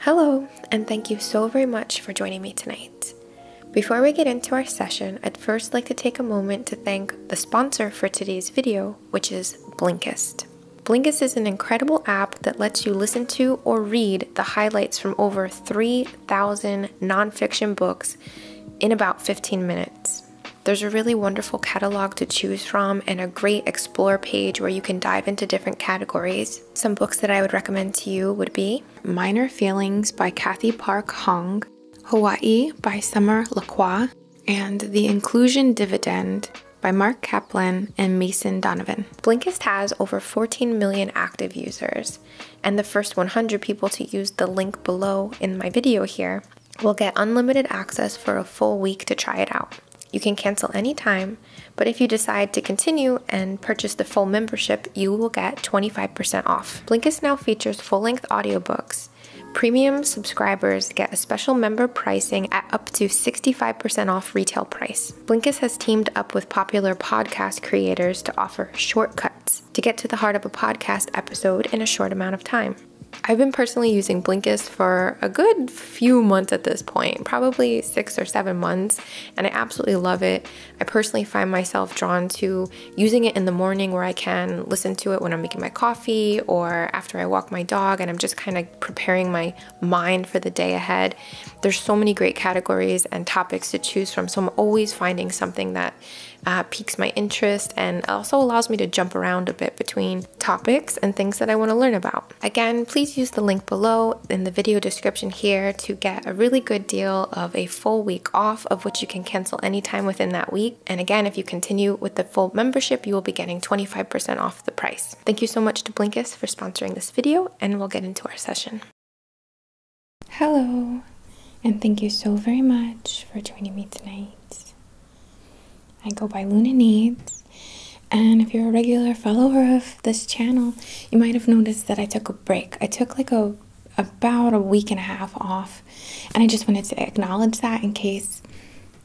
Hello, and thank you so very much for joining me tonight. Before we get into our session, I'd first like to take a moment to thank the sponsor for today's video, which is Blinkist. Blinkist is an incredible app that lets you listen to or read the highlights from over 3,000 nonfiction books in about 15 minutes. There's a really wonderful catalog to choose from and a great explore page where you can dive into different categories. Some books that I would recommend to you would be Minor Feelings by Kathy Park Hong, Hawaii by Summer LaQua, and The Inclusion Dividend by Mark Kaplan and Mason Donovan. Blinkist has over 14 million active users, and the first 100 people to use the link below in my video here will get unlimited access for a full week to try it out. You can cancel anytime, but if you decide to continue and purchase the full membership, you will get 25% off. Blinkist now features full length audiobooks. Premium subscribers get a special member pricing at up to 65% off retail price. Blinkist has teamed up with popular podcast creators to offer shortcuts to get to the heart of a podcast episode in a short amount of time. I've been personally using Blinkist for a good few months at this point, probably six or seven months, and I absolutely love it. I personally find myself drawn to using it in the morning where I can listen to it when I'm making my coffee or after I walk my dog and I'm just kind of preparing my mind for the day ahead. There's so many great categories and topics to choose from, so I'm always finding something that uh, piques my interest and also allows me to jump around a bit between topics and things that I want to learn about. Again, please use the link below in the video description here to get a really good deal of a full week off of which you can cancel anytime within that week. And again, if you continue with the full membership, you will be getting 25% off the price. Thank you so much to Blinkist for sponsoring this video and we'll get into our session. Hello, and thank you so very much for joining me tonight. I go by Luna Needs and if you're a regular follower of this channel, you might have noticed that I took a break. I took like a about a week and a half off, and I just wanted to acknowledge that in case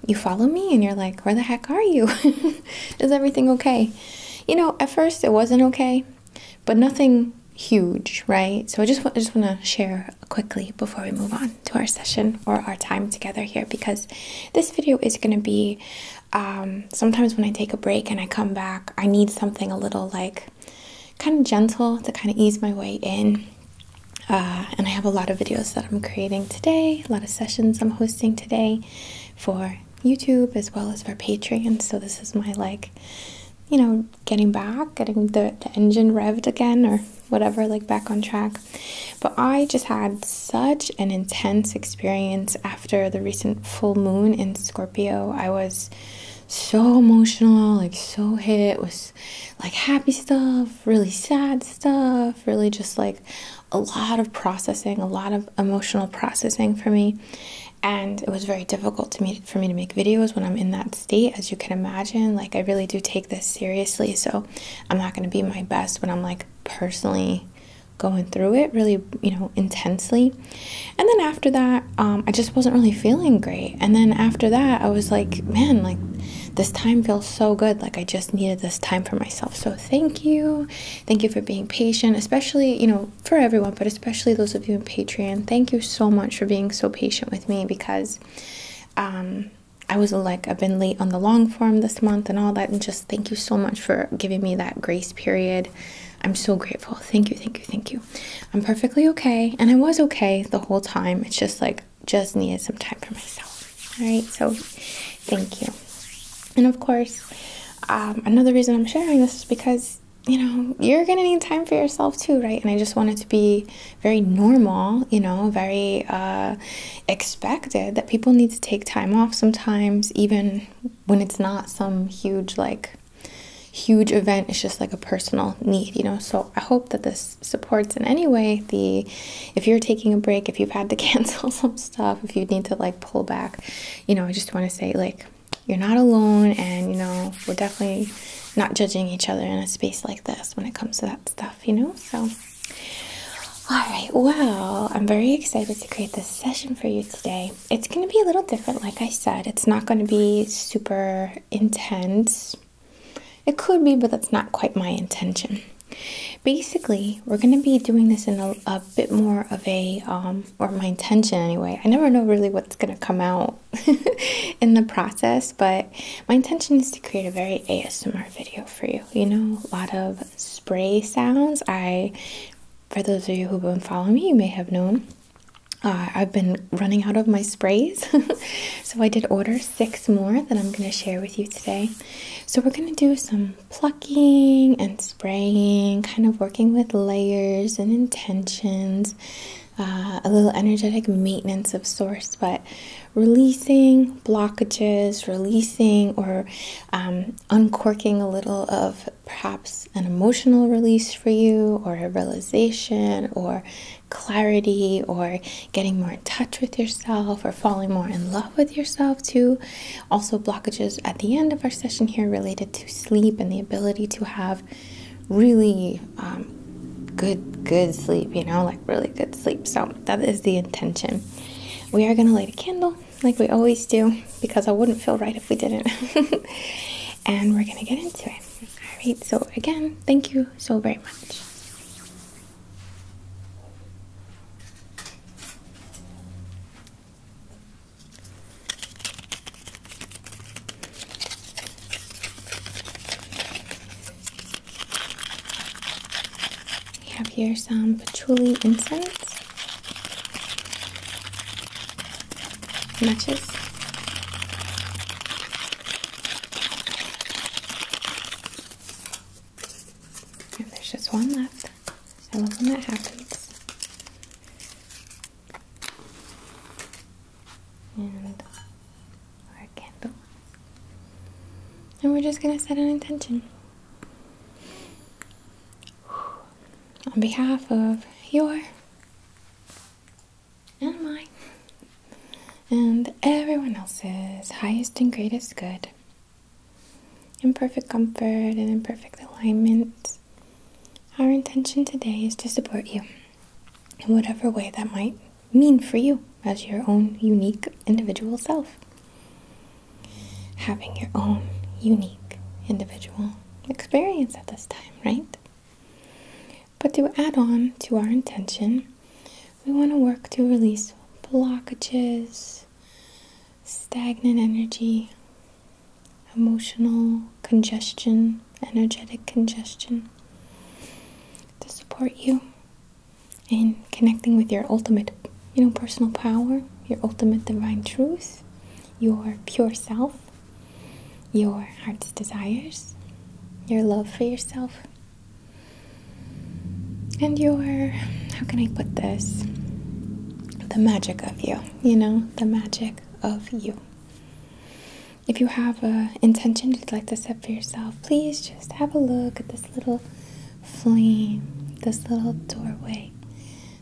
you follow me and you're like, "Where the heck are you? Is everything okay?" You know, at first it wasn't okay, but nothing huge, right? So I just I just want to share quickly before we move on to our session or our time together here because this video is going to be um, sometimes when I take a break and I come back, I need something a little like kind of gentle to kind of ease my way in. Uh, and I have a lot of videos that I'm creating today, a lot of sessions I'm hosting today for YouTube as well as for Patreon. So this is my like, you know, getting back, getting the, the engine revved again or whatever, like back on track. But I just had such an intense experience after after the recent full moon in Scorpio, I was so emotional, like so hit with like happy stuff, really sad stuff, really just like a lot of processing, a lot of emotional processing for me. And it was very difficult to me for me to make videos when I'm in that state, as you can imagine. Like I really do take this seriously, so I'm not gonna be my best when I'm like personally going through it really, you know, intensely. And then after that, um, I just wasn't really feeling great. And then after that, I was like, man, like this time feels so good. Like I just needed this time for myself. So thank you. Thank you for being patient, especially, you know, for everyone, but especially those of you on Patreon. Thank you so much for being so patient with me because um, I was like, I've been late on the long form this month and all that. And just thank you so much for giving me that grace period. I'm so grateful. Thank you, thank you, thank you. I'm perfectly okay, and I was okay the whole time. It's just like just needed some time for myself. All right, so thank you. And of course, um, another reason I'm sharing this is because you know you're gonna need time for yourself too, right? And I just want it to be very normal, you know, very uh, expected that people need to take time off sometimes, even when it's not some huge like huge event it's just like a personal need you know so i hope that this supports in any way the if you're taking a break if you've had to cancel some stuff if you need to like pull back you know i just want to say like you're not alone and you know we're definitely not judging each other in a space like this when it comes to that stuff you know so all right, well, I'm very excited to create this session for you today. It's going to be a little different, like I said. It's not going to be super intense. It could be, but that's not quite my intention. Basically, we're going to be doing this in a, a bit more of a, um, or my intention anyway. I never know really what's going to come out in the process, but my intention is to create a very ASMR video for you. You know, a lot of spray sounds. I for those of you who've been following me, you may have known uh, I've been running out of my sprays. so I did order six more that I'm going to share with you today. So we're going to do some plucking and spraying, kind of working with layers and intentions. Uh, a little energetic maintenance of source, but releasing blockages, releasing or um, uncorking a little of perhaps an emotional release for you, or a realization, or clarity, or getting more in touch with yourself, or falling more in love with yourself, too. Also, blockages at the end of our session here related to sleep and the ability to have really um, good, good sleep, you know, like really good sleep. So, that is the intention. We are going to light a candle like we always do, because I wouldn't feel right if we didn't. and we're gonna get into it. All right, so again, thank you so very much. We have here some patchouli incense matches. And there's just one left. I love when that happens. And our candle. And we're just going to set an intention on behalf of your and mine and everyone else's highest and greatest good in perfect comfort and in perfect alignment our intention today is to support you in whatever way that might mean for you as your own unique individual self having your own unique individual experience at this time, right? But to add on to our intention, we want to work to release blockages, stagnant energy, emotional congestion, energetic congestion to support you in connecting with your ultimate you know, personal power, your ultimate divine truth, your pure self, your heart's desires, your love for yourself, and your how can I put this? The magic of you, you know, the magic of you. If you have an intention you'd like to set for yourself, please just have a look at this little flame, this little doorway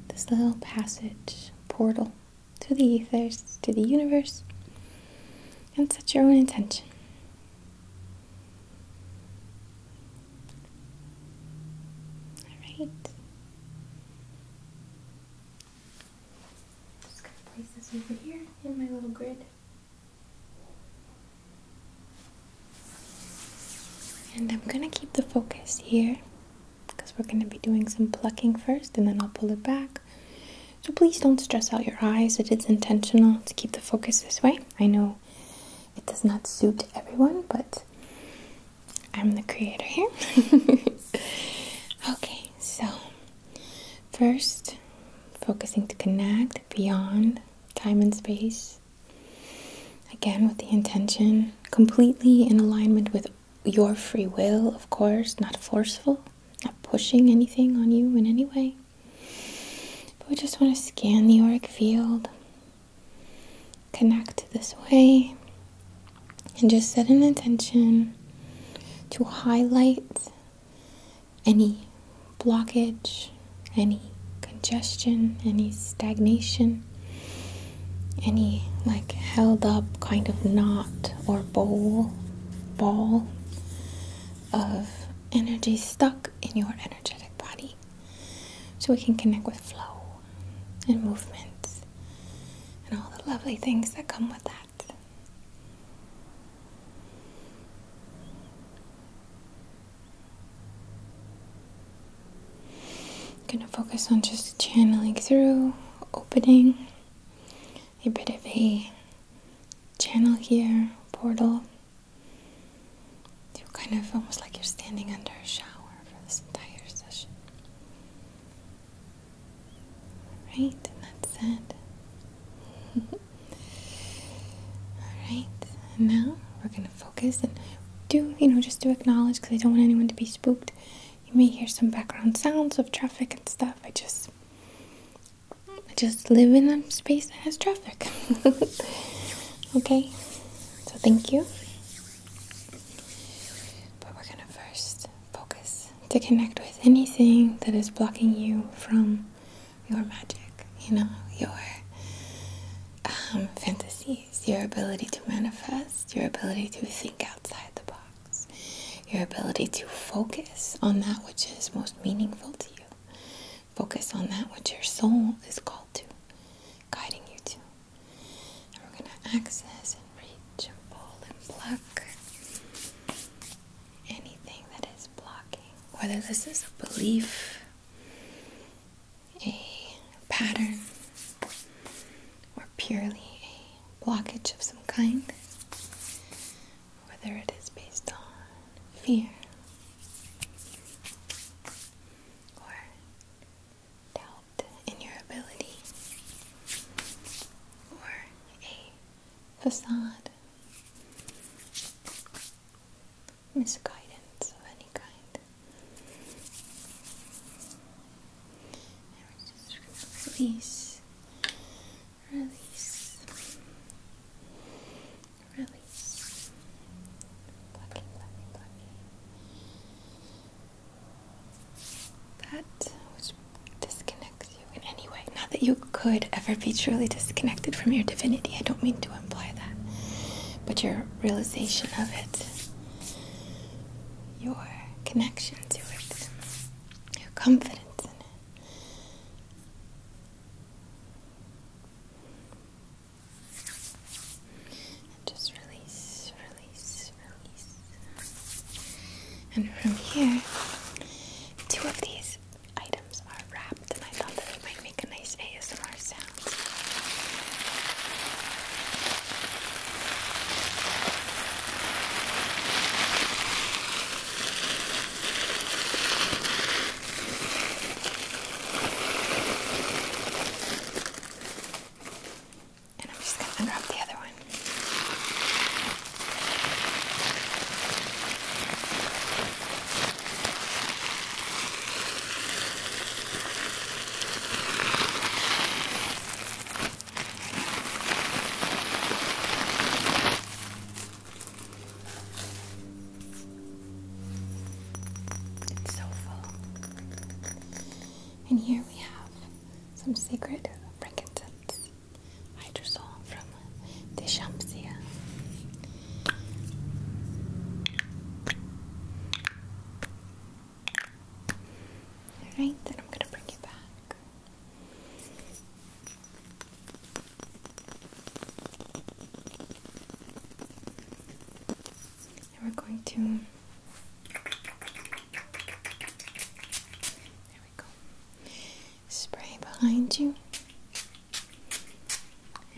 this little passage, portal to the ethers, to the universe, and set your own intention. All right. Just gonna place this over here in my little grid. And I'm gonna keep the focus here because we're gonna be doing some plucking first and then I'll pull it back. So please don't stress out your eyes. It is intentional to keep the focus this way. I know it does not suit everyone, but I'm the creator here. okay, so first, focusing to connect beyond time and space Again, with the intention, completely in alignment with your free will, of course, not forceful, not pushing anything on you in any way. But we just want to scan the auric field, connect this way, and just set an intention to highlight any blockage, any congestion, any stagnation, any like held up kind of knot or bowl ball of energy stuck in your energetic body so we can connect with flow and movements and all the lovely things that come with that. I'm gonna focus on just channeling through, opening a bit of a channel here, portal. You're kind of almost like you're standing under a shower for this entire session. Alright, and that's it. Alright, now we're gonna focus and do, you know, just to acknowledge because I don't want anyone to be spooked. You may hear some background sounds of traffic and stuff. I just, I just live in a space that has traffic. okay, so thank you. But we're gonna first focus to connect with anything that is blocking you from your magic, you know, your um, fantasy, your ability to manifest, your ability to think outside the box, your ability to focus on that which is most meaningful to you. Focus on that which your soul is called to, guiding you to. we're going to access and reach and pull and pluck anything that is blocking, whether this is a belief a pattern or purely a blockage of some kind, whether it is based on fear or doubt in your ability or a facade. Misguidance of any kind release, release, release. That which disconnects you in any way. Not that you could ever be truly disconnected from your divinity. I don't mean to imply that. But your realization of it your connection to it, your confidence in it. And just release, release, release. And from here, two of these items are wrapped, and I thought that it might make a nice ASMR sound. And I'm just going to unwrap the other one. It's so full. And here we have some sacred frankincense hydrosol from Deschampsia. Alright, then I'm gonna bring you back. And we're going to. There we go. Spray behind you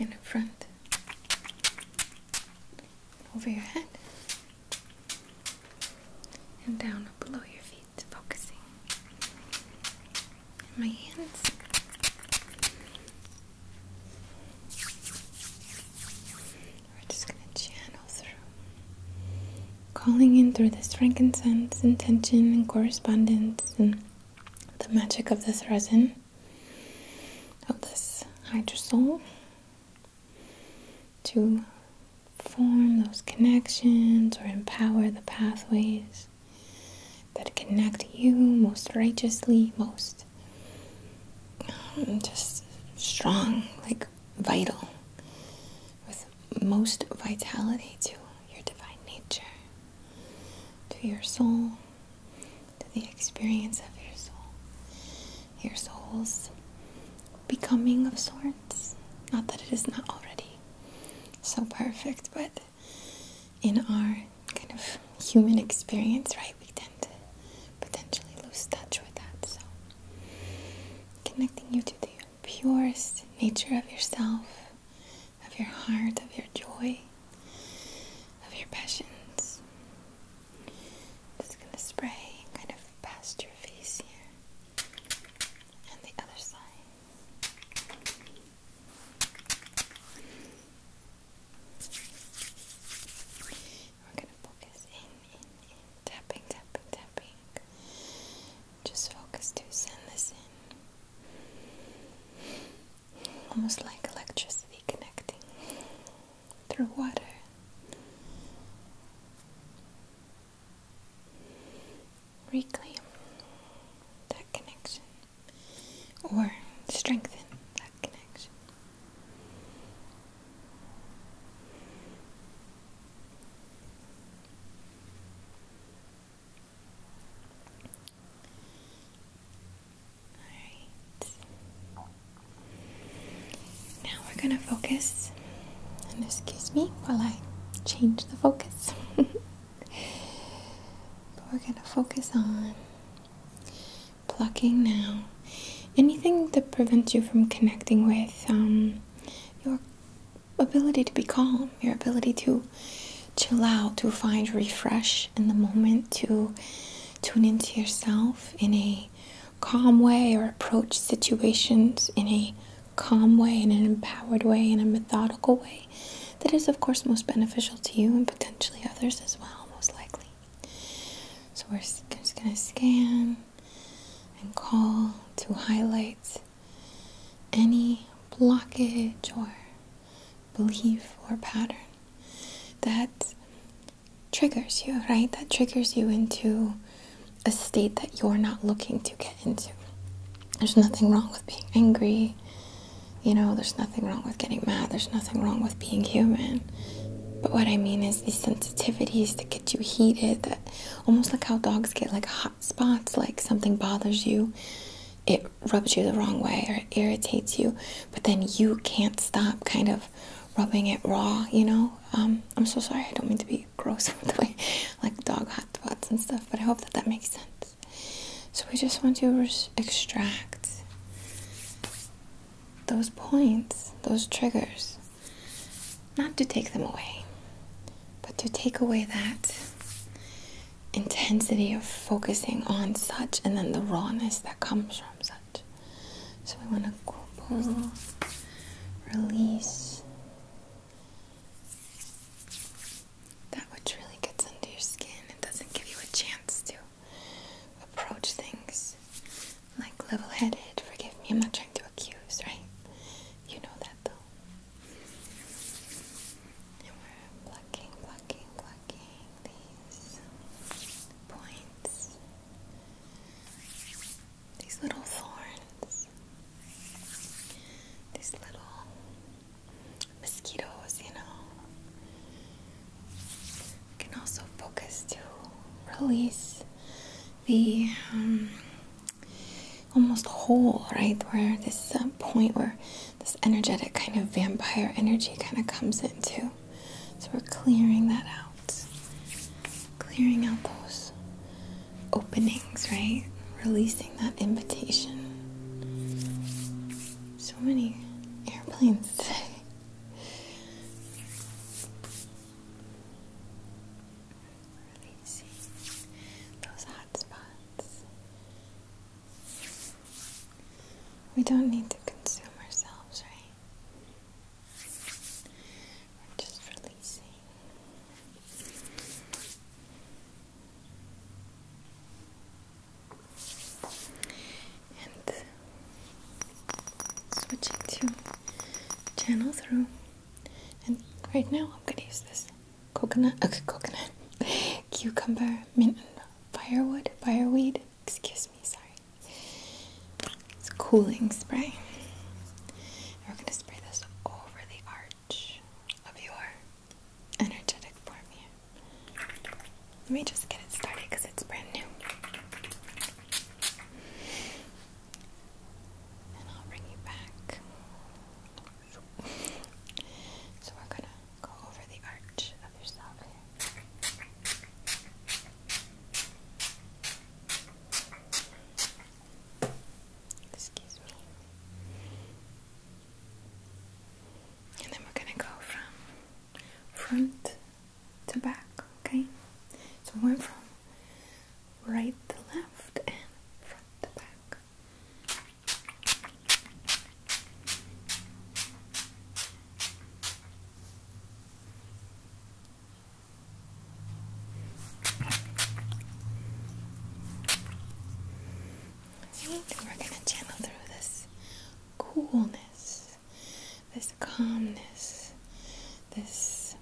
and in front, over your head and down below your feet, focusing. my hands. We're just going to channel through. Calling in through this frankincense, intention, and correspondence, and the magic of this resin, of this hydrosol, to form those connections or empower the pathways that connect you most righteously, most um, just strong, like vital, with most vitality to your divine nature, to your soul, to the experience of your soul, your soul's becoming of sorts. Not that it is not already so perfect, but in our kind of human experience, right, we tend to potentially lose touch with that. So, connecting you to the purest nature of yourself, of your heart, of your joy, of your passions. Just gonna spray kind of past your face here and the other side. We're gonna focus in, in, in, tapping, tapping, tapping. Just focus to send this in. Almost like electricity connecting through water. Reclaim that connection or strengthen that connection. All right. Now we're gonna focus, and excuse me while I change the focus. but we're gonna focus on plucking now. Anything that prevents you from connecting with um, your ability to be calm, your ability to chill out, to find refresh in the moment, to tune into yourself in a calm way or approach situations in a calm way, in an empowered way, in a methodical way that is, of course, most beneficial to you and potentially others as well, most likely. So, we're just going to scan and call to highlight any blockage or belief or pattern that triggers you, right? That triggers you into a state that you're not looking to get into. There's nothing wrong with being angry. You know, there's nothing wrong with getting mad. There's nothing wrong with being human. But what I mean is these sensitivities that get you heated, that almost like how dogs get like hot spots, like something bothers you, it rubs you the wrong way or irritates you, but then you can't stop kind of rubbing it raw, you know, um, I'm so sorry. I don't mean to be gross with the way, like dog hot pots and stuff. But I hope that that makes sense. So we just want to extract those points, those triggers, not to take them away, but to take away that intensity of focusing on such, and then the rawness that comes from such. So we want to couple, release that which really gets under your skin It doesn't give you a chance to approach things like level headed. Forgive me, I'm not trying to accuse, right? You know that though. we're plucking, plucking, plucking these points. These little thorns, these little mosquitoes, you know, can also focus to release the um, almost hole, right? Where this uh, point where this energetic kind of vampire energy kind of comes into. So we're clearing that out, clearing out those openings, right? Releasing that invitation. So many airplanes today. Releasing those hot We don't need to consume ourselves, right? just releasing. And switching to channel three. And right now I'm gonna use this coconut, okay, uh, coconut, cucumber, mint, firewood, fireweed. Excuse me, sorry. It's cooling spray. We're going to spray this over the arch of your energetic form here. Let me just get it started because it's brand new. And I'll bring you back. So we're going to go over the arch of yourself here. Excuse me. And then we're gonna go from front to back, okay? So we're from right to left and front to back we're going to channel through this coolness, this calmness, this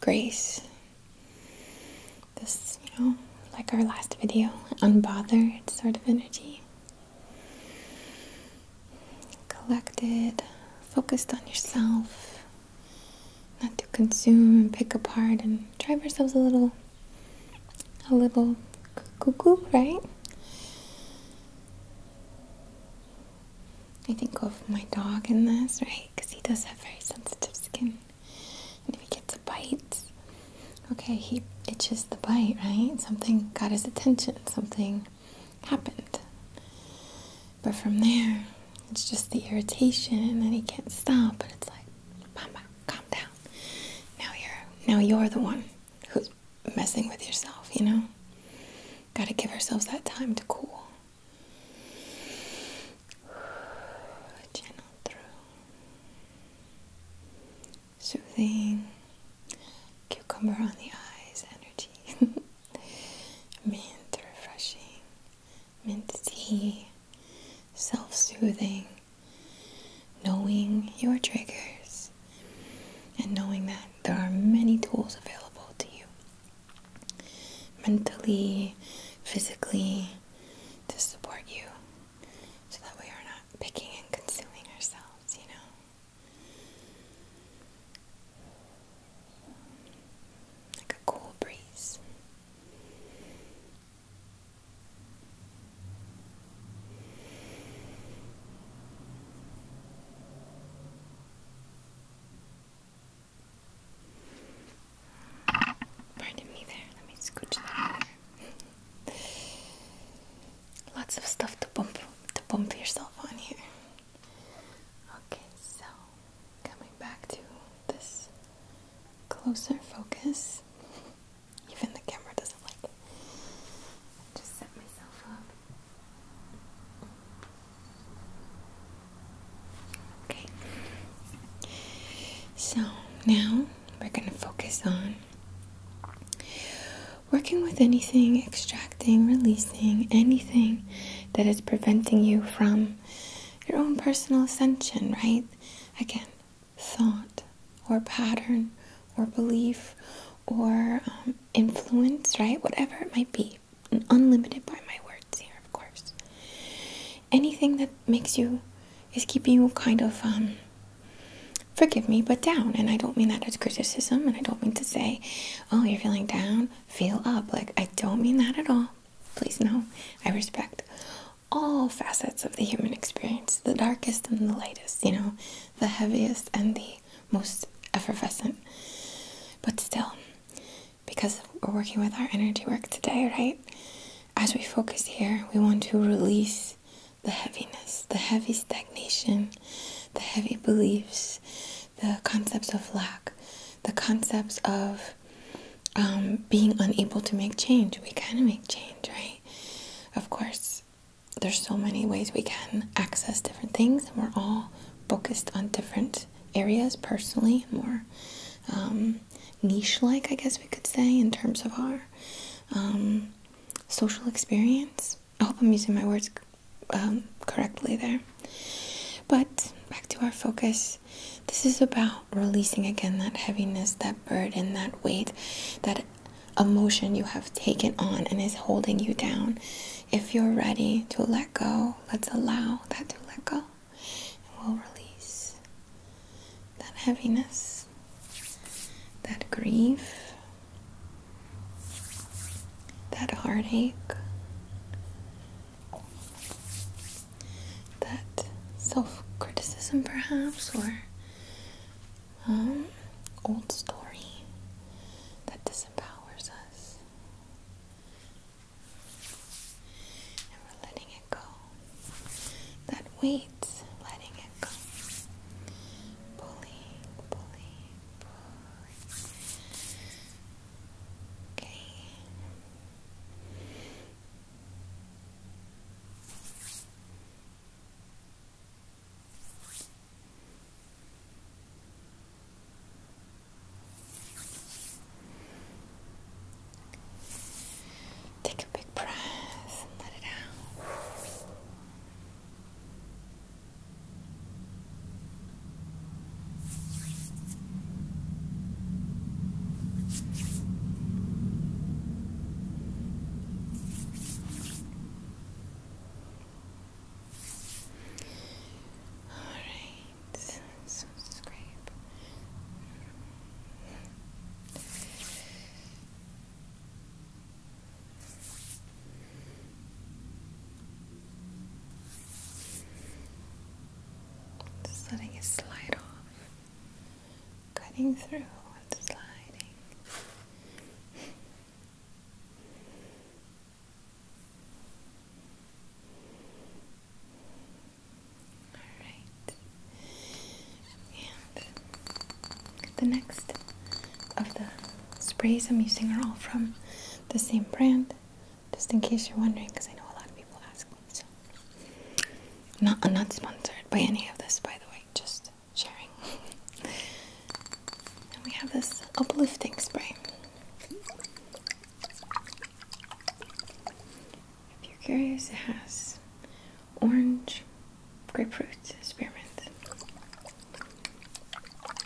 grace, this, you know, like our last video, unbothered sort of energy collected, focused on yourself, not to consume and pick apart and drive ourselves a little, a little cuckoo, right? I think of my dog in this, right? Because he does have very sensitive skin. And if he gets a bite, okay, he itches the bite, right? Something got his attention, something happened. But from there, it's just the irritation, and then he can't stop. But it's like, Pamba, calm down. Now you're now you're the one who's messing with yourself. You know, got to give ourselves that time to cool. Channel through, soothing cucumber on the eyes energy. mint refreshing, mint tea, self soothing, knowing your triggers, and knowing that there are many tools available to you mentally, physically to support you so that we are not picking and consuming ourselves, you know like a cool breeze. Pardon me there, let me scooch that over. Lots of stuff to bump to bump yourself on here. Okay, so coming back to this closer focus, even the camera doesn't like it. just set myself up. Okay, so now we're going to focus on working with anything, extracting, releasing anything that is preventing you from your own personal ascension, right? Again, thought or pattern or belief or um, influence, right? Whatever it might be. unlimited by my words here, of course. Anything that makes you, is keeping you kind of, um, forgive me, but down. And I don't mean that as criticism, and I don't mean to say, oh, you're feeling down feel up. Like, I don't mean that at all. Please, no. I respect all facets of the human experience the darkest and the lightest, you know, the heaviest and the most effervescent. But still, because we're working with our energy work today, right? As we focus here, we want to release the heaviness, the heavy stagnation, the heavy beliefs, the concepts of lack, the concepts of um, being unable to make change. We kind of make change, right? Of course, there's so many ways we can access different things, and we're all focused on different areas personally, more um, niche like, I guess we could say, in terms of our um, social experience. I hope I'm using my words um, correctly there. But back to our focus. This is about releasing again that heaviness, that burden, that weight, that emotion you have taken on and is holding you down. If you're ready to let go, let's allow that to let go. And we'll release that heaviness, that grief, that heartache, that self criticism, perhaps, or um, old story that disempowers us. And we're letting it go. That weight, letting it go. Pulling, pulling, pulling. Okay. Take a big breath and let it out. Alright, so scrape. Just letting it slide off, cutting through and sliding. All right, and the next of the sprays I'm using are all from the same brand. Just in case you're wondering, because I know a lot of people ask me. So, not I'm not sponsored by any of this, by the way. Just sharing. and we have this uplifting spray. If you're curious, it has orange, grapefruit, spearmint,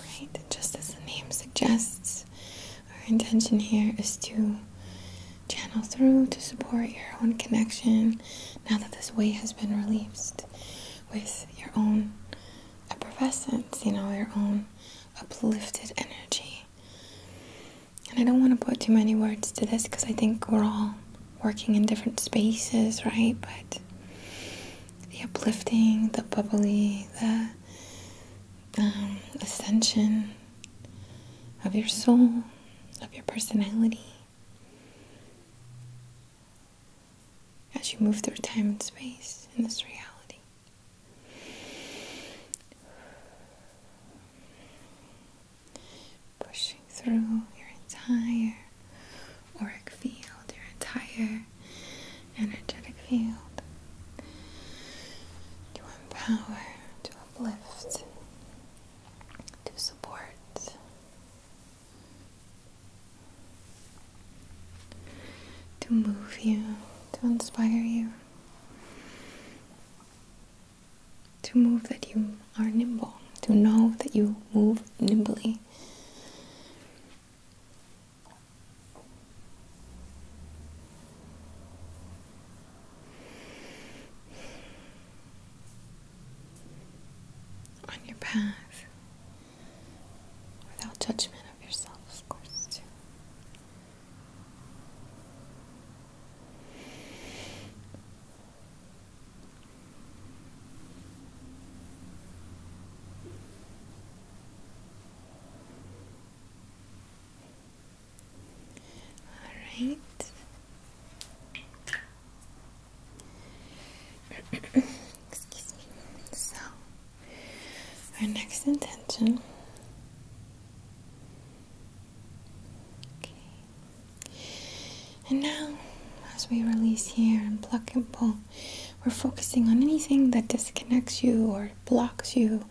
Right, just as the name suggests, our intention here is to channel through to support your own connection now that this weight has been released with your own effervescence, you know, your own uplifted energy. And I don't want to put too many words to this because I think we're all working in different spaces, right? But the uplifting, the bubbly, the um, ascension of your soul, of your personality. As you move through time and space in this reality, pushing through your entire auric field, your entire energetic field, to empower, to uplift, to support. To move you, to inspire you, to move that you are nimble, to know that you move nimbly, on your path without judgment of yourself, of course, too. All right. Excuse me. So, our next intention. And now, as we release here and pluck and pull, we're focusing on anything that disconnects you or blocks you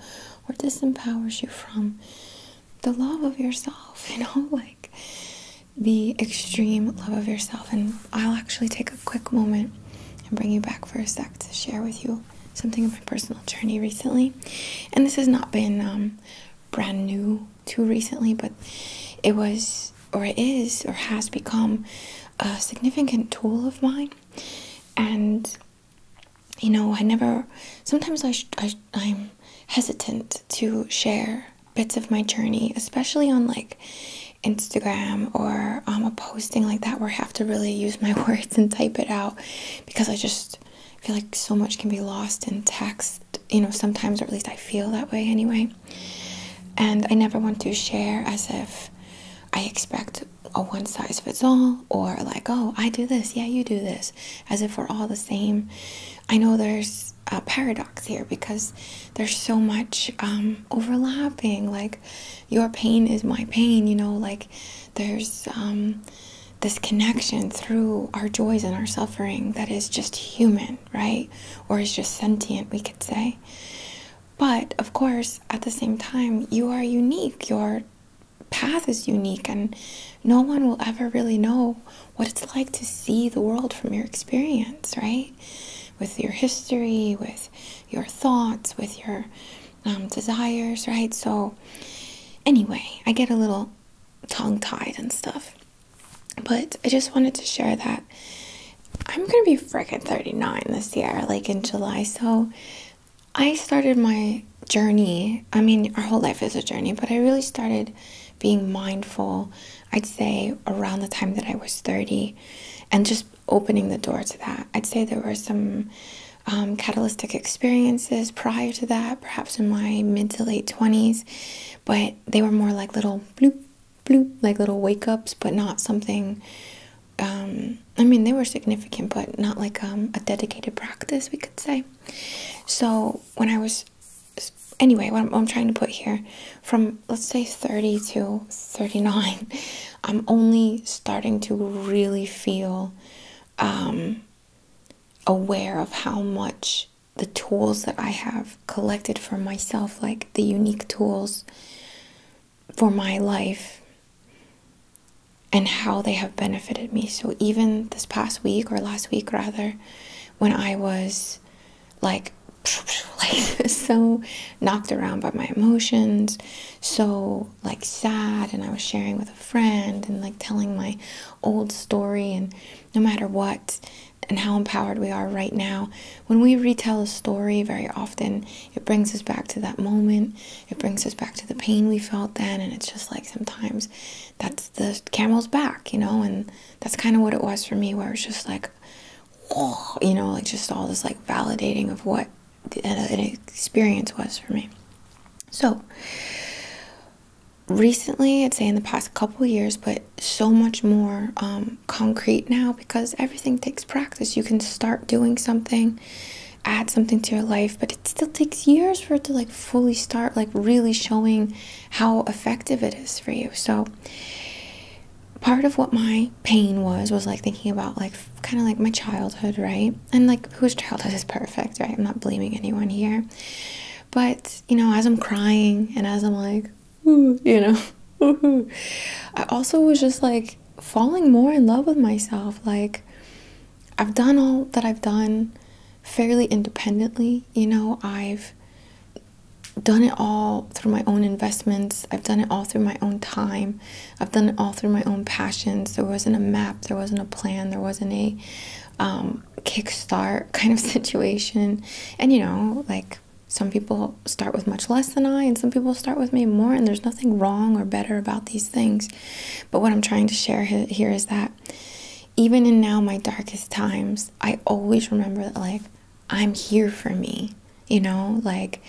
or disempowers you from the love of yourself, you know, like the extreme love of yourself. And I'll actually take a quick moment and bring you back for a sec to share with you something of my personal journey recently. And this has not been um, brand new too recently, but it was, or it is, or has become a significant tool of mine and you know i never sometimes I, I i'm hesitant to share bits of my journey especially on like instagram or um, a posting like that where i have to really use my words and type it out because i just feel like so much can be lost in text you know sometimes or at least i feel that way anyway and i never want to share as if i expect a one size fits all or like oh i do this yeah you do this as if we're all the same i know there's a paradox here because there's so much um, overlapping like your pain is my pain you know like there's um, this connection through our joys and our suffering that is just human right or is just sentient we could say but of course, at the same time, you are unique. Your path is unique, and no one will ever really know what it's like to see the world from your experience, right? With your history, with your thoughts, with your um, desires, right? So, anyway, I get a little tongue tied and stuff. But I just wanted to share that I'm gonna be freaking 39 this year, like in July. So I started my journey. I mean, our whole life is a journey, but I really started being mindful, I'd say around the time that I was 30, and just opening the door to that. I'd say there were some um, catalytic experiences prior to that, perhaps in my mid to late 20s, but they were more like little bloop, bloop, like little wake ups, but not something um, I mean, they were significant, but not like um, a dedicated practice, we could say. So when I was, anyway, what I'm, trying to put here, from let's say 30 to 39, I'm only starting to really feel um, aware of how much the tools that I have collected for myself, like the unique tools for my life and how they have benefited me. So even this past week or last week rather, when I was like so knocked around by my emotions, so like sad and I was sharing with a friend and like telling my old story and no matter what and how empowered we are right now, when we retell a story very often it brings us back to that moment. It brings us back to the pain we felt then. And it's just like sometimes that's the camel's back, you know? And that's kind of what it was for me, where it's just like, oh, you know, like just all this like validating of what an experience was for me. So, recently, I'd say in the past couple years, but so much more um, concrete now because everything takes practice. You can start doing something, add something to your life, but it still takes years for it to like fully start, like really showing how effective it is for you. So, part of what my pain was was like thinking about like kind of like my childhood, right? And like whose childhood is perfect, right? I'm not blaming anyone here. But, you know, as I'm crying and as I'm like, you know, I also was just like falling more in love with myself. Like, I've done all that I've done fairly independently. You know, I've done it all through my own investments. I've done it all through my own time. I've done it all through my own passions. There wasn't a map, there wasn't a plan, there wasn't a um, kickstart kind of situation. And you know, like some people start with much less than I, and some people start with me more, and there's wrong or better about these things. But what I'm trying to share here is that even in now my darkest times, I always remember that, like, I'm here for me, you know, like,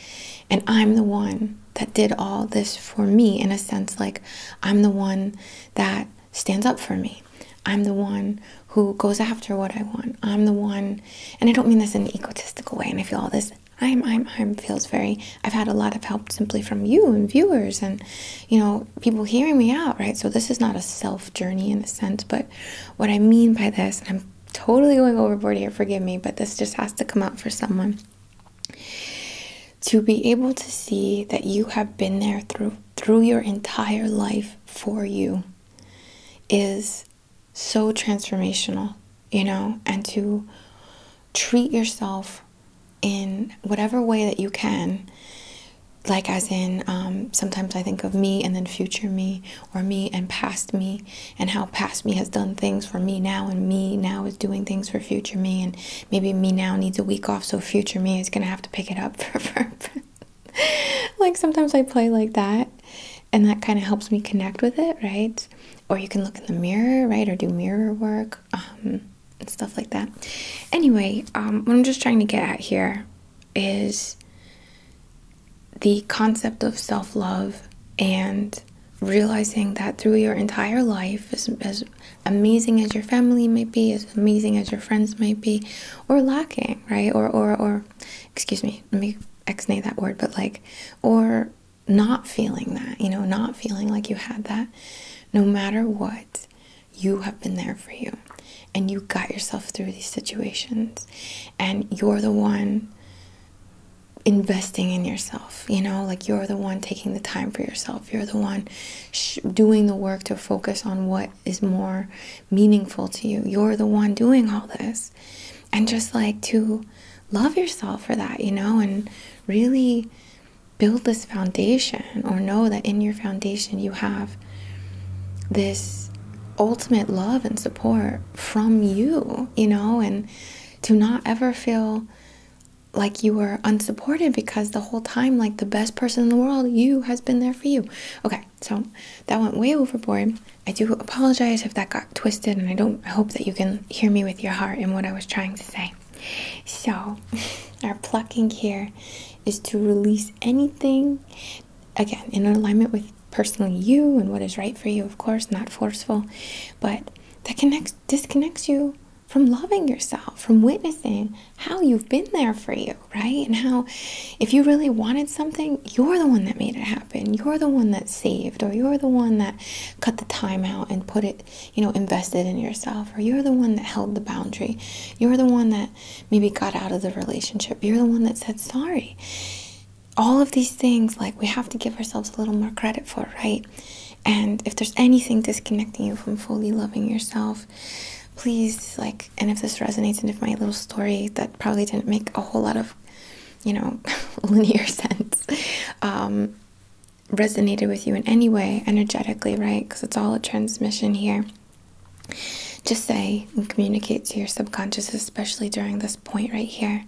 and I'm the one that did all this for me in a sense. Like, I'm the one that stands up for me. I'm the one who goes after what I want. I'm the one, and I don't mean this in an egotistical way, and I feel all this I'm, I'm, I'm feels very, I've had a lot of help simply from you and viewers and, you know, people hearing me out, right? So this is not a self journey in a sense, but what I mean by this, I'm totally going overboard here, forgive me, but this just has to come out for someone. To be able to see that you have been there through through your entire life for you is so transformational, you know, and to treat yourself in whatever way that you can. Like, as in, um, sometimes I think of me and then future me, or me and past me, and how past me has done things for me now, and me now is doing things for future me, and maybe me now needs a week off, so future me is gonna have to pick it up for like, sometimes I play like that, and that kind of helps me connect with it, right? Or you can look in the mirror, right? Or do mirror work um, and stuff like that. Anyway, um, what I'm just trying to get at here is the concept of self love and realizing that through your entire life, as, amazing as your family might be, as amazing as your friends might be, or lacking, right? Or, or, or, excuse me, let me ex nay that word, but like, or not feeling that, you know, not feeling like you had that. No matter what, you have been there for you and you got yourself through these situations and you're the one investing in yourself you know like you're the one taking the time for yourself you're the one doing the work to focus on what is more meaningful to you you're the one doing all this and just like to love yourself for that, you know, and really build this foundation or know that in your foundation you have this ultimate love and support from you, you know, and to not ever feel like you were unsupported because the whole time, like the best person in the world, you has been there for you. Okay, so that went way overboard. I do apologize if that got twisted and I don't hope that you can hear me with your heart and what I was trying to say. So our plucking here is to release anything again in alignment with personally you and what is right for you, of course, not forceful, but that connects disconnects you from loving yourself, from witnessing how you've been there for you, right? And how if you really wanted something, you're the one that made it happen you're the one that saved or you're the one that cut the time out and put it you know invested in yourself or you're the one that held the boundary you're the one that maybe got out of the relationship you're the one that said sorry all of these things like we have to give ourselves a little more credit for right and if there's anything disconnecting you from fully loving yourself please like and if this resonates and if my little story that probably didn't make a whole lot of you know linear sense um, resonated with you in any way energetically, right? Because it's all a transmission here. Just say and communicate to your subconscious, especially during this point right here,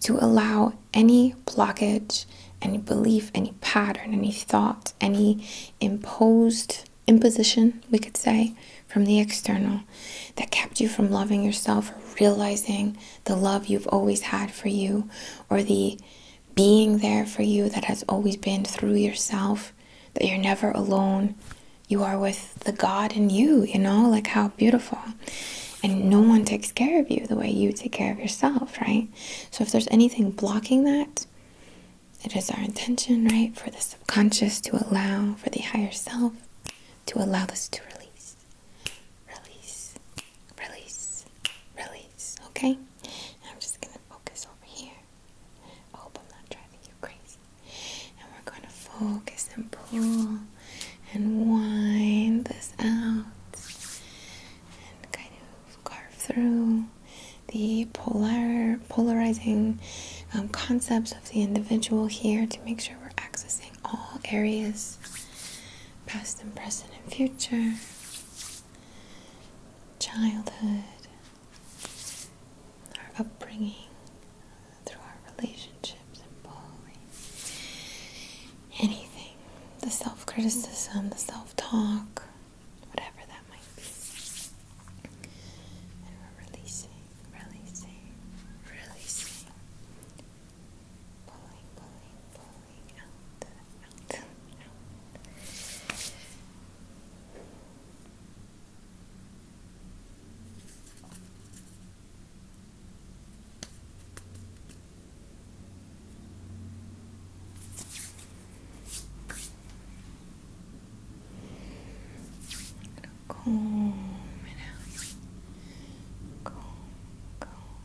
to allow any blockage, any belief, any pattern, any thought, any imposed imposition, we could say, from the external that kept you from loving yourself or realizing the love you've always had for you or the being there for you that has always been through yourself, that you're never alone. You are with the God in you, you know, like how beautiful. And no one takes care of you the way you take care of yourself, right? So if there's anything blocking that, it is our intention, right, for the subconscious to allow, for the higher self to allow this to release release, release, release, Okay? I'm just gonna focus over here. hope I'm not driving you crazy. And we're gonna focus and pull and wind this out and kind of carve through the polar polarizing um, concepts of the individual here to make sure we're accessing all areas, past and present and future, childhood, our upbringing, through our relationships and bullying, anything, the self criticism, the self talk, whatever that might be. And we're releasing, releasing, releasing, pulling, pulling, pulling out, out, out. Comb it out.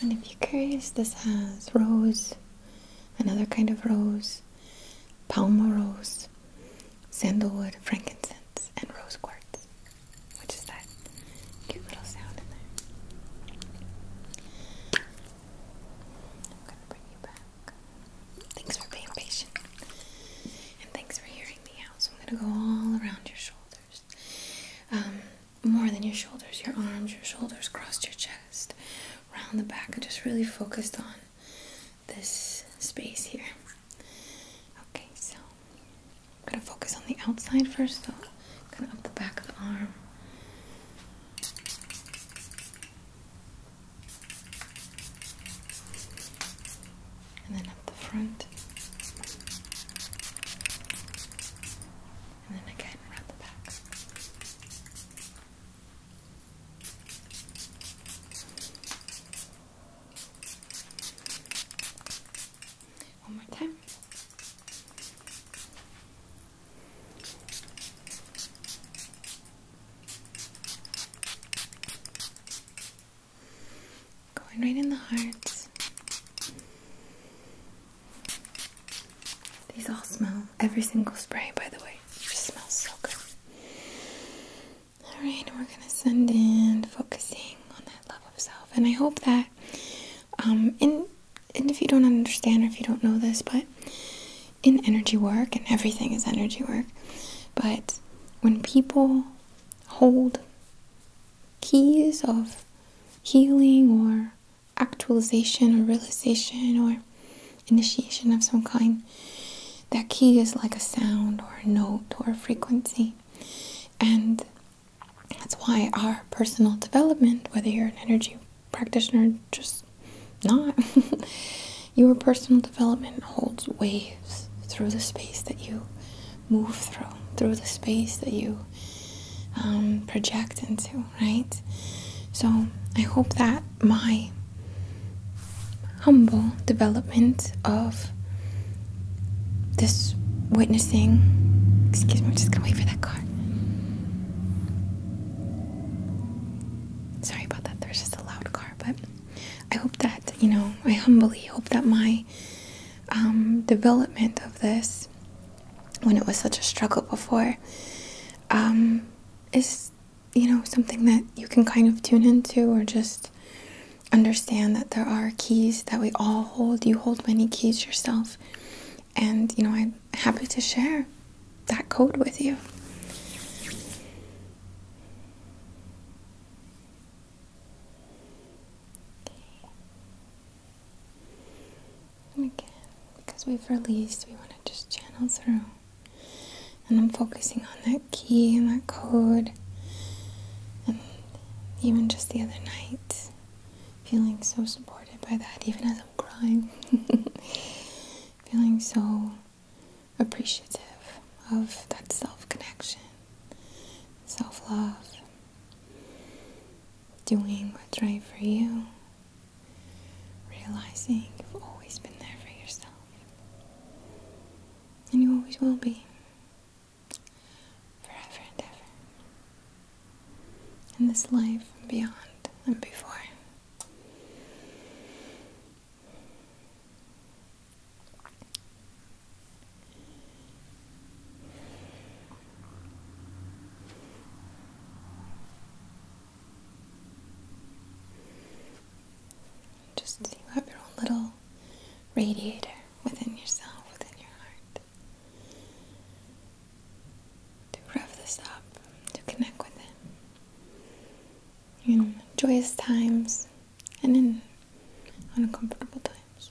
And if you're curious, this has rose, another kind of rose, palma rose, sandalwood, frankincense, and rose quartz, which is that cute little sound in there. I'm gonna bring you back. Thanks for being patient, and thanks for hearing me out. So I'm gonna go all around your shoulders. Um, more than your shoulders, your arms, your shoulders, crossed your chest, round the back, and just really focused on this space here. Okay, so I'm gonna focus on the outside first, so kind of up the back of the arm and then up the front, and then again around the back. One more time. Going right in the heart. These all smell. Every single spray, by the way, just smells so good. Alright, we're gonna send in focusing on that love of self. And I hope that um in and if you don't understand or if you don't know this, but in energy work, and everything is energy work, but when people hold keys of healing or actualization or realization or initiation of some kind. That key is like a sound or a note or a frequency. And that's why our personal development, whether you're an energy practitioner, just not, your personal development holds waves through the space that you move through, through the space that you um, project into, right? So I hope that my humble development of this witnessing. Excuse me, I'm just gonna wait for that car. Sorry about that, There was just a loud car, but I hope that, you know, I humbly hope that my um, development of this when it was such a struggle before um, is you know something that you can kind of tune into or just understand that there are keys that we all hold you hold many keys yourself and you know i'm happy to share that code with you and again, because we've released, we want to just channel through. And I'm focusing on that key and that code. And even just the other night, feeling so supported by that, even as I'm crying. feeling so appreciative of that self connection, self love doing what's right for you, realizing you've always been there for yourself, and you always will be, forever and ever, in this life and beyond and before. Just so you have your own little radiator within yourself, within your heart. To rev this up, to connect with it. In joyous times and in uncomfortable times.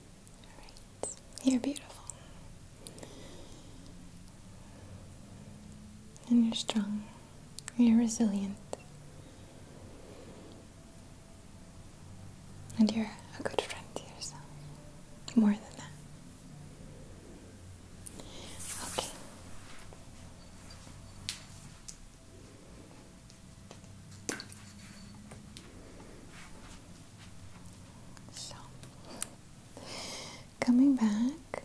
you're beautiful. And you're strong. You're resilient. And you're a good friend to yourself. More than that. Okay. So, coming back,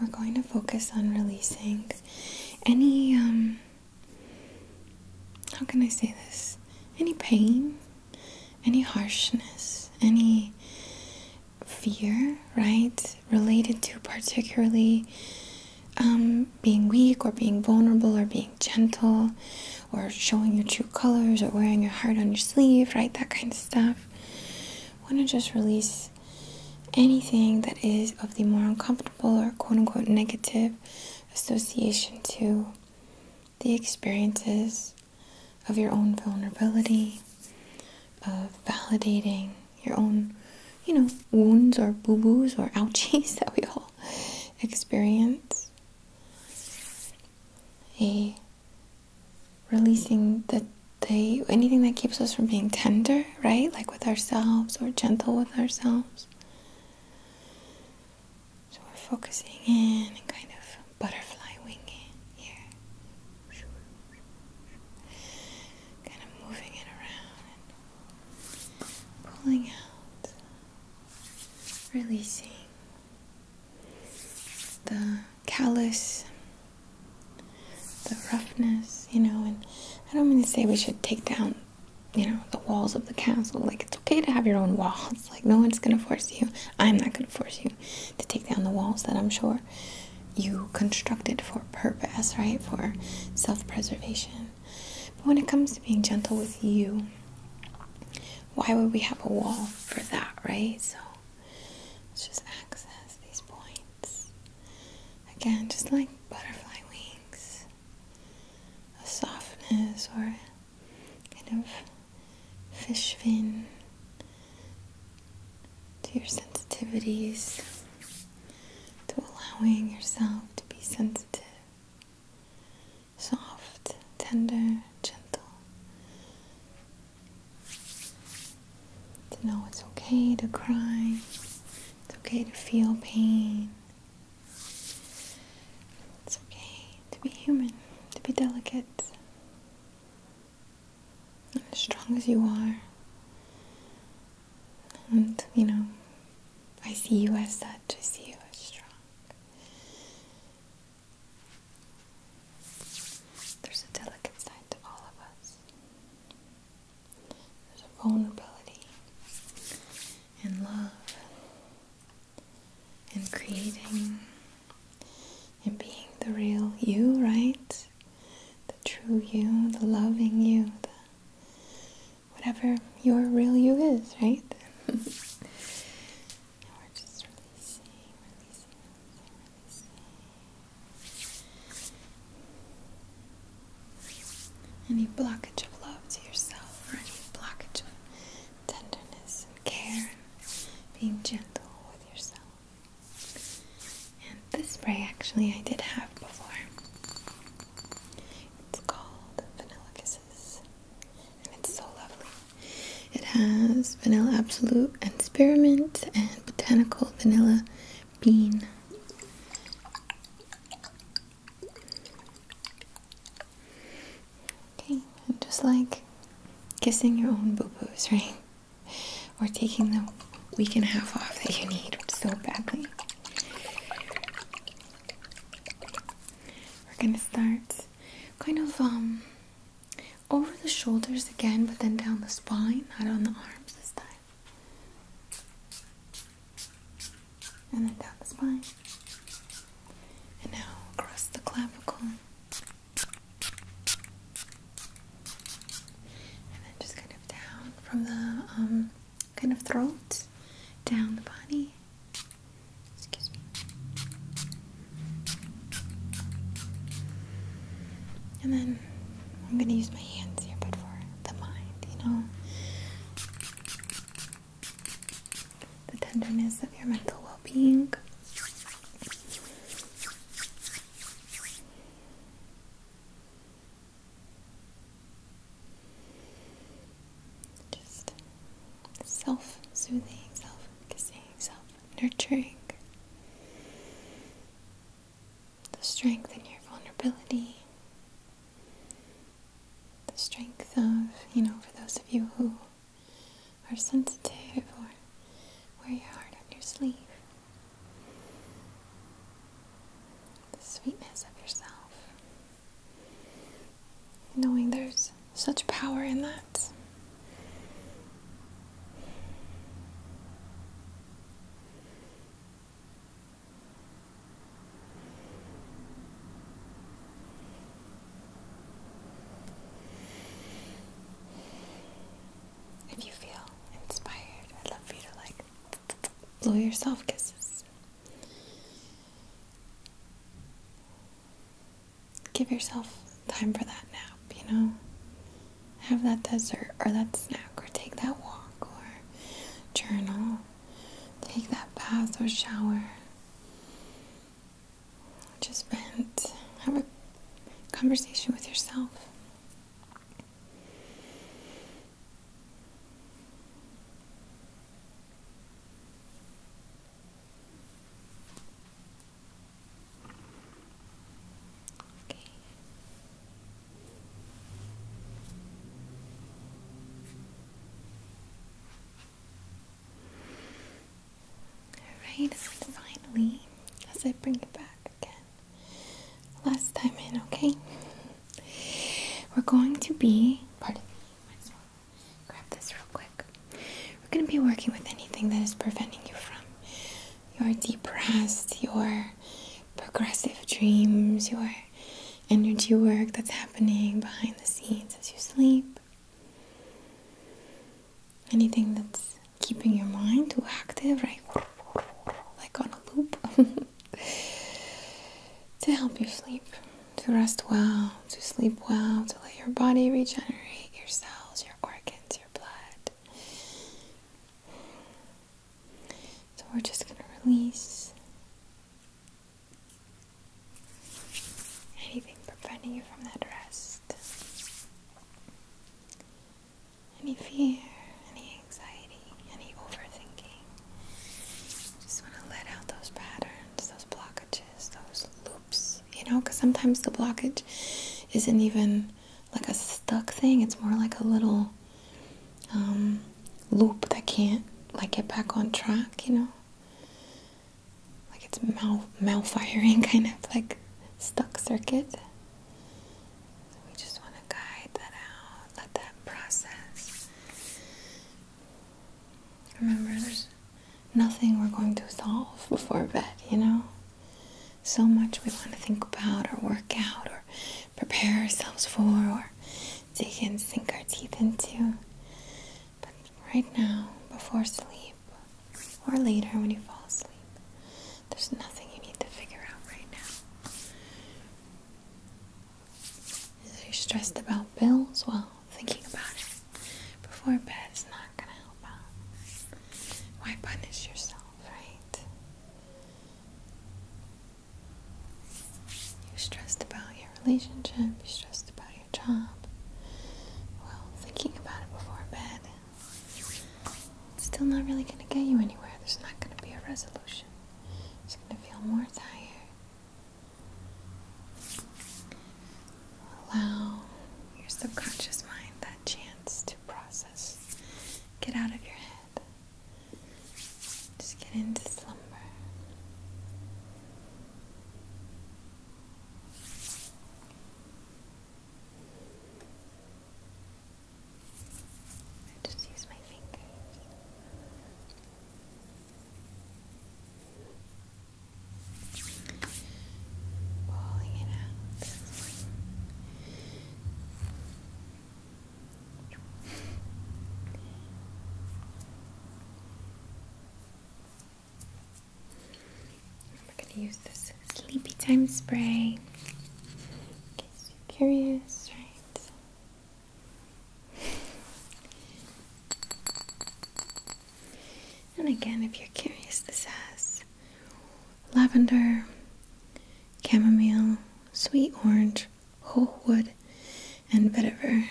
we're going to focus on releasing any, um, how can I say this? Any pain, any harshness, any fear, right? Related to particularly um, being weak or being vulnerable or being gentle or showing your true colors or wearing your heart on your sleeve, right? That kind of stuff. Want to just release anything that is of the more uncomfortable or quote unquote negative association to the experiences of your own vulnerability, of validating your own, you know, wounds or boo boos or ouchies that we all experience. A releasing the they anything that keeps us from being tender, right? Like with ourselves or gentle with ourselves. So we're focusing in and kind of butterfly winging here. Kind of moving it around and pulling out releasing the callus, the roughness, you know. And I don't mean to say we should take down, you know, the walls of the castle. Like, it's okay to have your own walls. Like, no one's gonna force you. I'm not gonna force you to take down the walls that I'm sure you constructed for purpose, right? For self preservation. But when it comes to being gentle with you, why would we have a wall for that, right? So let's just access these points. Again, just like butterfly wings, a softness or kind of fish fin to your sensitivities, to allowing yourself to be sensitive soft, tender, gentle. To know it's okay to cry, it's okay to feel pain, it's okay to be human, to be delicate. And as strong as you are, and you know, I see you as such, I see you as strong. There's a delicate side to all of us. There's a vulnerability in love in creating in being the real you, right? The true you, the loving you, whatever your real you is, right? Any blockage of love to yourself, or any blockage of tenderness and care, being gentle with yourself. And this spray actually I did have before. It's called Vanilla Kisses, and it's so lovely. It has vanilla absolute and spearmint and botanical vanilla bean. Okay, and just like kissing your own boo boos, right? Or taking the week and a half off that you need so badly. We're gonna start kind of um, over the shoulders again, but then down the spine, not on the arms this time. And then down the spine. And now across the clavicle. And then just kind of down from the um, kind of throat, down the body, and then I'm gonna use my hands here, but for the mind, you know, the tenderness of your mental well-being. Just self soothing, self kissing, self nurturing. The strength in your vulnerability. The strength of, you know, for those of you who are sensitive or wear your heart on your sleeve. The sweetness of yourself knowing there's such power in that. If you feel inspired, I'd love for you to like blow yourself kisses. Give yourself time for that nap, you know? Have that dessert or that snack or take that walk or journal. Take that bath or shower. Just vent. Have a conversation with yourself. Okay. Alright, and finally, as I bring it back again, last time in, okay? We're going to be, pardon grab this real quick. We're going to be working with anything that is preventing you from your depressed, your progressive dreams, your energy work that's happening behind the scenes as you sleep. Anything that's keeping your mind too active, right? Like on a loop. to help you sleep to rest well, to sleep well, to let your body regenerate your cells, your organs, your blood. So we're just going to release anything preventing you from that rest. Any fear, any anxiety, any overthinking. Just want to let out those patterns, those blockages those loops, you know, because sometimes the blockage isn't even like a stuck thing, it's more like a little um, loop that can't like get back on track, you know, like it's mal firing, kind of like stuck circuit. we just want to guide that out, let that process. Remember, nothing we're going to solve before bed, you know? So much we want to think about or work out or prepare ourselves for or dig and sink our teeth into. But right now, before sleep, or later when you fall asleep, there's nothing you need to figure out right now. If you're stressed about bills, well, thinking about it before bed bed's not gonna help out. Why punish yourself, right? You're stressed about your relationship, you're stressed about your job. Well, thinking about it before bed, it's still not really gonna get you anywhere. There's not gonna be a resolution. It's gonna feel more tired. Allow your subconscious mind that chance to process. Get out of your head. Just get into slumber. I just use my fingers we're going to use this sleepy time spray. In case you're curious, right? And again, if you're curious, this has lavender, chamomile, sweet orange, whole wood, and vetiver.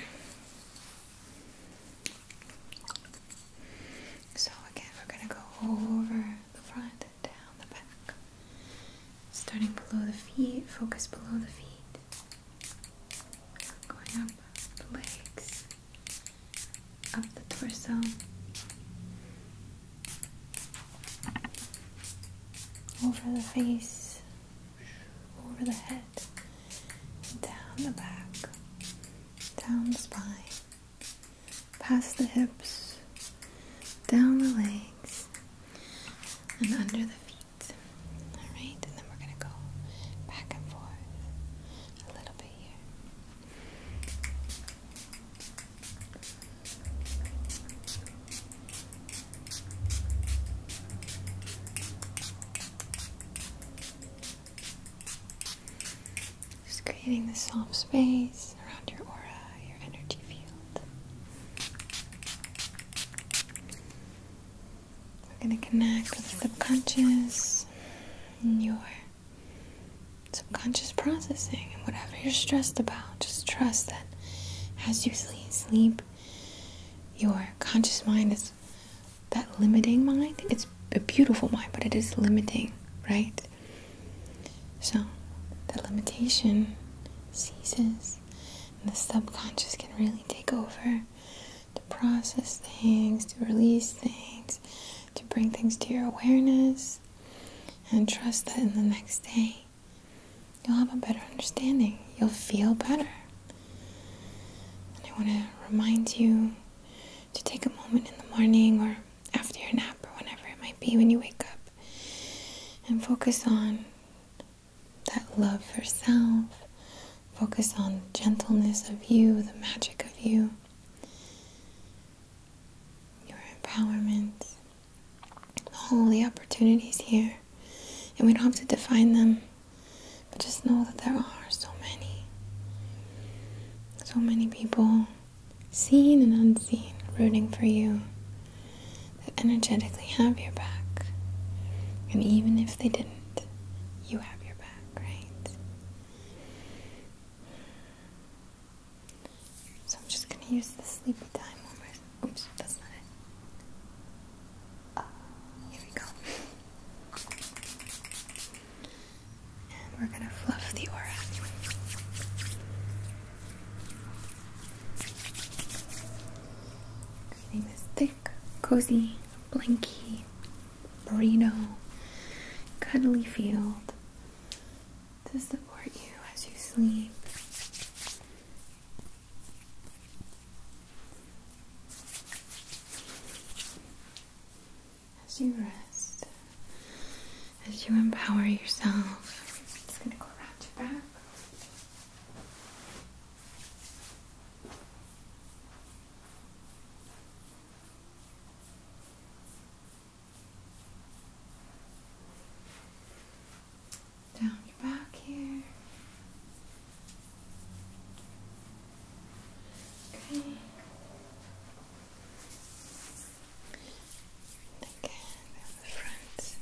So, again, we're going to go over the front, down the back, starting below the feet, focus below the feet going up the legs, up the torso. Over the face, over the head, down the back, down the spine, past the hips, down the legs, and under the feet. Alright, and then we're going to go back and forth a little bit here. Just creating the soft space around your aura, your energy field. We're going to connect with the subconscious and your subconscious processing and whatever you're stressed about. Just trust that as you sleep, your conscious mind is that limiting mind. It's a beautiful mind, but it is limiting, right? So the limitation ceases, and the subconscious can really take over to process things, to release things, to bring things to your awareness. And trust that in the next day you'll have a better understanding. You'll feel better. And I want to remind you to take a moment in the morning or after your nap or whenever it might be when you wake up and focus on that love for self, Focus on the gentleness of you, the magic of you, your empowerment, all the opportunities here. And we don't have to define them, but just know that there are so many. So many people, seen and unseen, rooting for you, that energetically have your back. And even if they didn't, you have your back great. So I'm just gonna use the sleepy time warmers. Oops, that's not it. Uh, here we go. And we're gonna fluff the aura. Creating this thick, cozy, blanky merino cuddly field to support you as you sleep. As you rest, as you empower yourself, down your back here. Okay. Again, the front.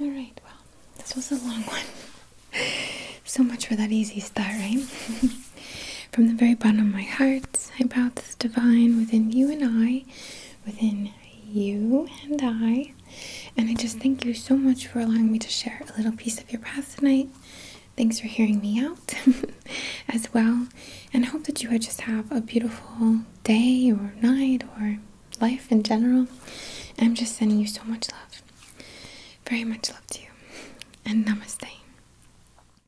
All right, well, this was a long one. so much for that easy start, right? From the very bottom of my heart, I bow to the divine within you and I, within you and I. And I just thank you so much for allowing me to share a little piece of your path tonight. Thanks for hearing me out as well. And I hope that you would just have a beautiful day or night or life in general. I'm just sending you so much love. Very much love to you. And namaste.